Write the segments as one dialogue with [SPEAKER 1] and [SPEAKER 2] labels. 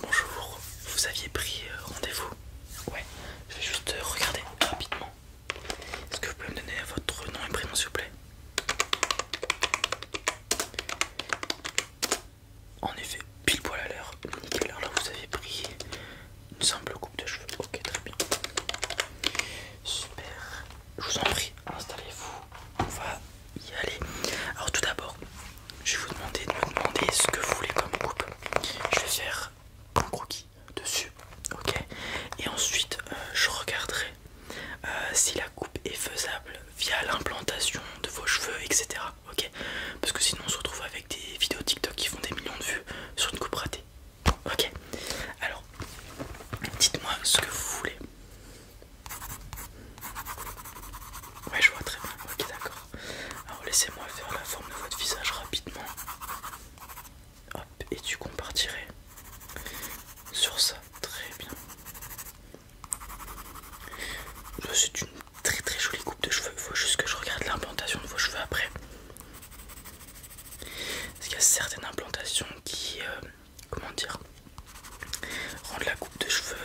[SPEAKER 1] Bonjour, vous aviez pris euh, rendez-vous Ouais, je vais juste euh, regarder rapidement. Est-ce que vous pouvez me donner votre nom et prénom s'il vous plaît En effet, pile poil à l'heure. alors là vous avez pris une simple coupe de cheveux. Ok, très bien. Super. Je vous en prie, installez-vous. On va y Alors tout d'abord, je vais vous demander de me demander ce que vous voulez comme coupe. Je vais faire un croquis dessus, ok Et ensuite, euh, je regarderai euh, si la coupe est faisable via l'implantation de vos cheveux, etc. Ok Parce que sinon, on se retrouve avec des vidéos TikTok qui font des millions de vues sur une coupe ratée. Ok Alors, dites-moi ce que vous voulez. Ouais, je vois très bien. Ok, d'accord. Alors laissez-moi faire la forme de votre visage rapidement. et tu compartirais sur ça. Très bien. C'est une très très jolie coupe de cheveux. il Faut juste que je regarde l'implantation de vos cheveux après. Parce qu'il y a certaines implantations qui, euh, comment dire, rendent la coupe de cheveux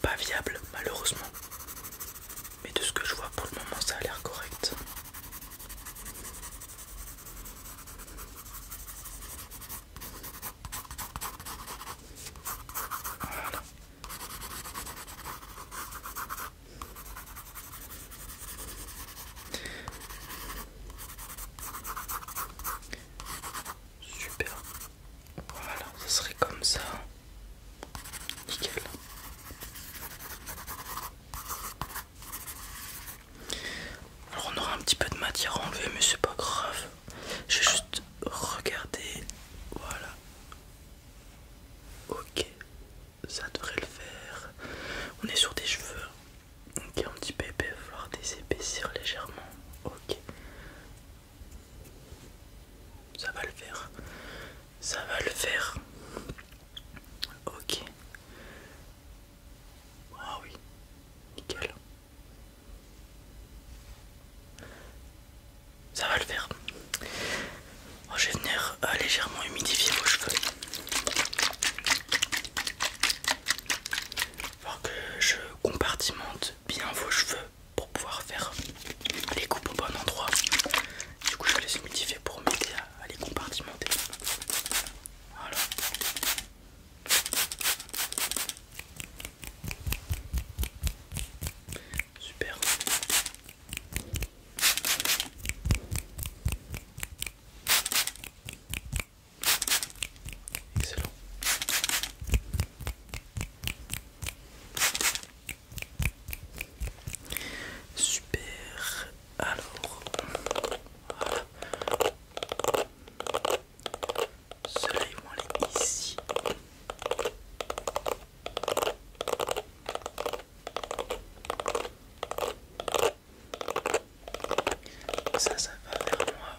[SPEAKER 1] pas viable malheureusement. Mais de ce que je vois pour le moment ça a l'air correct. Super. Voilà, ça serait comme ça. Nickel. Alors on aura un petit peu de matière enlevée, mais c'est pas grave. Je vais juste regarder. Voilà. Ok. Ça devrait le faire. On est sur des cheveux. Ok, un petit peu épais, il va falloir désépaissir légèrement. Ok. Ça va le faire. Ça va le faire. Ok. Ah oui. Nickel. Ça va le faire. Oh, je vais venir euh, légèrement humidifier vos cheveux. pour que je compartimente bien vos cheveux pour pouvoir faire les coupes au bon endroit. Du coup, je vais les modifier pour m'aider à, les compartimenter. Voilà. Super. Excellent. Super. Alors, voilà. Cela, ils vont est ici. Ça, ça va vers moi.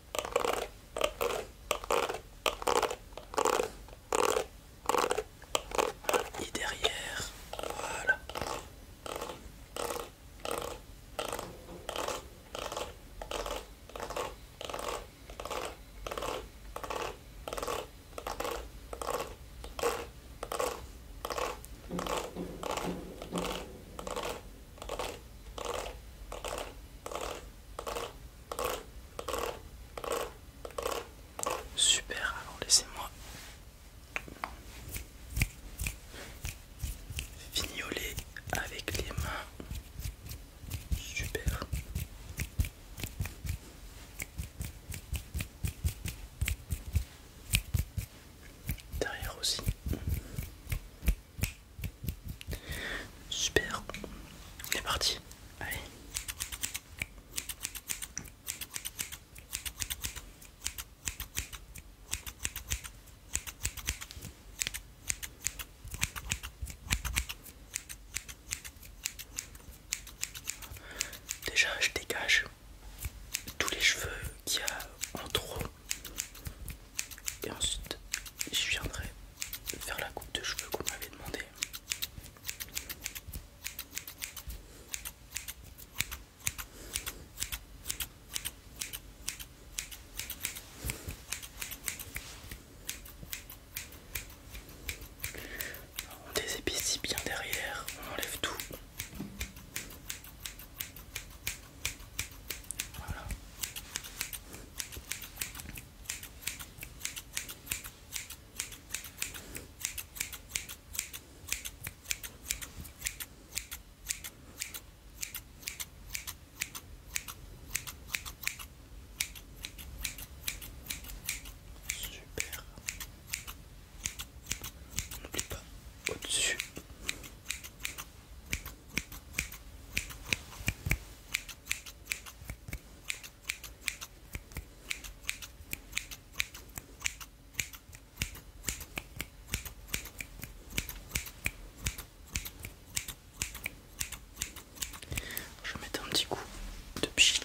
[SPEAKER 1] Et derrière, voilà. Super, alors laissez-moi fignoler avec les mains. Super. Derrière aussi. Super, on est parti. Allez. Déjà, je dégage tous les cheveux qu'il y a en trop et ensuite je viendrai faire la coupe de cheveux qu'on m'avait demandé on désépicie bien derrière, on enlève tout. Voilà. Super. N'oublie pas au-dessus je mets un petit coup de pchit.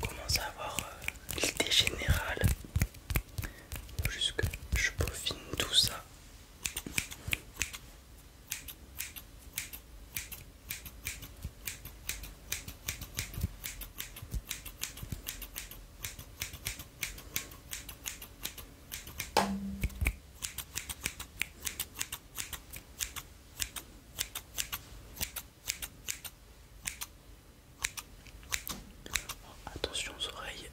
[SPEAKER 1] commence à avoir l'idée euh, générale jusque je peaufine tout ça Attention aux oreilles.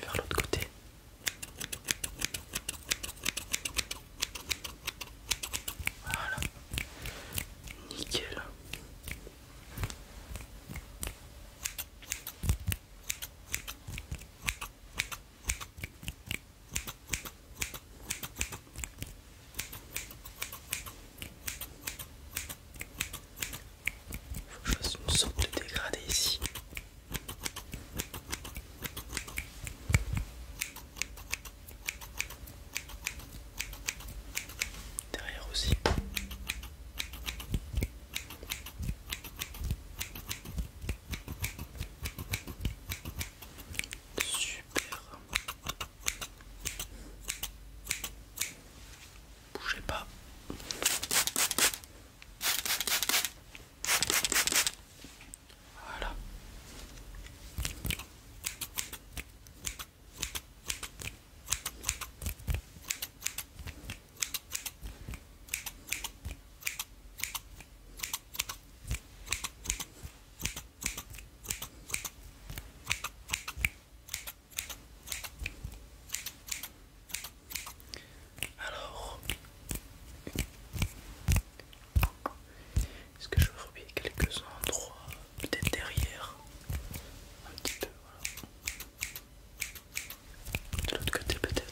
[SPEAKER 1] Vers l'autre côté. Voilà. Nickel. Faut que je fasse une de dégradé ici derrière aussi. Super. Bougez pas. Voilà. Alors, est-ce que je vais oublier quelques endroits, peut-être derrière, un petit peu, de l'autre côté peut-être.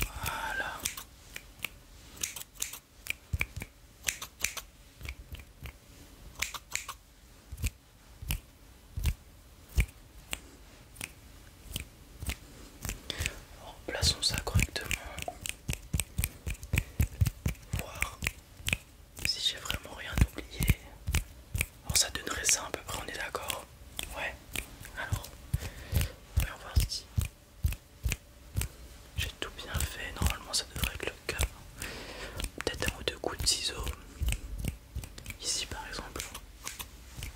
[SPEAKER 1] Voilà. plaçons ça correctement. Voir si j'ai vraiment rien oublié. Alors ça donnerait ça à peu près, on est d'accord Ouais. Alors, va voir si j'ai tout bien fait. Normalement ça devrait être le cas. Peut-être un ou deux coups de ciseaux. Ici par exemple.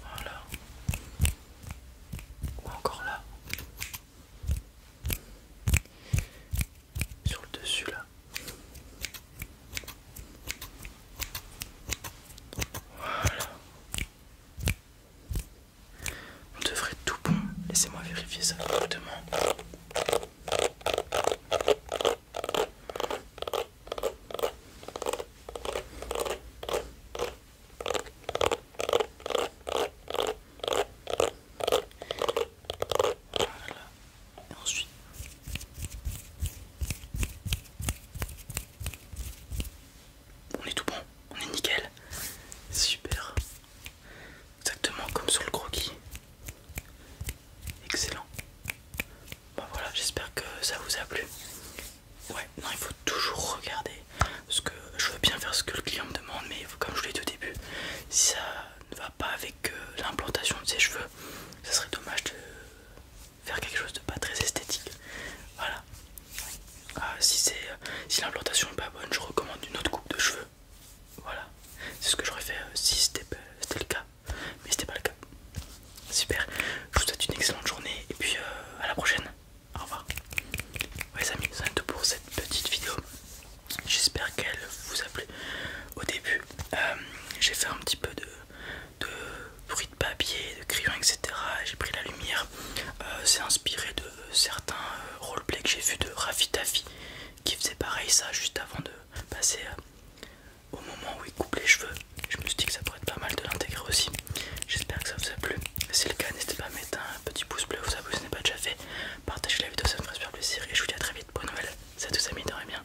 [SPEAKER 1] Voilà. Ou encore là. Sur le dessus là. Voilà. On devrait tout bon. Laissez-moi vérifier ça rapidement. Voilà ensuite, on est tout bon, on est nickel. Super. Exactement comme sur le croquis. Excellent. bah voilà, j'espère que ça vous a plu. Ouais, non, il faut toujours regarder. Parce que je veux bien faire ce que le client me demande, mais comme je l'ai dit au début, si ça ne va pas avec euh, l'implantation de ses cheveux, ça serait dommage de faire quelque chose de pas très esthétique. Voilà. Euh, si c'est euh, si l'implantation est pas bonne, je recommande une autre coupe de cheveux. Voilà. C'est ce que j'aurais fait euh, si c'était le cas. Mais c'était pas le cas. Super. Je vous souhaite une excellente journée et puis à la prochaine. Au revoir. Ouais, les amis, c'est tout pour cette petite vidéo. J'espère qu'elle vous a plu. Au début, j'ai fait un petit peu de de bruit de papier, de crayon etc. J'ai pris la lumière. Euh, c'est inspiré de certains euh, roleplay roleplays que j'ai vu de Raffi Tafi qui faisait pareil ça juste avant de passer euh, au moment où il coupe les cheveux. Je me suis dit que ça pourrait être pas mal de l'intégrer aussi. J'espère que ça vous a plu. Si c'est le cas, n'hésitez pas à mettre un petit pouce bleu, vous ça si ce n'est pas déjà fait. Partagez la vidéo, ça me ferait super plaisir. Et je vous dis à très vite bonne Noël. nouvelle. Salut tous amis, dormez bien.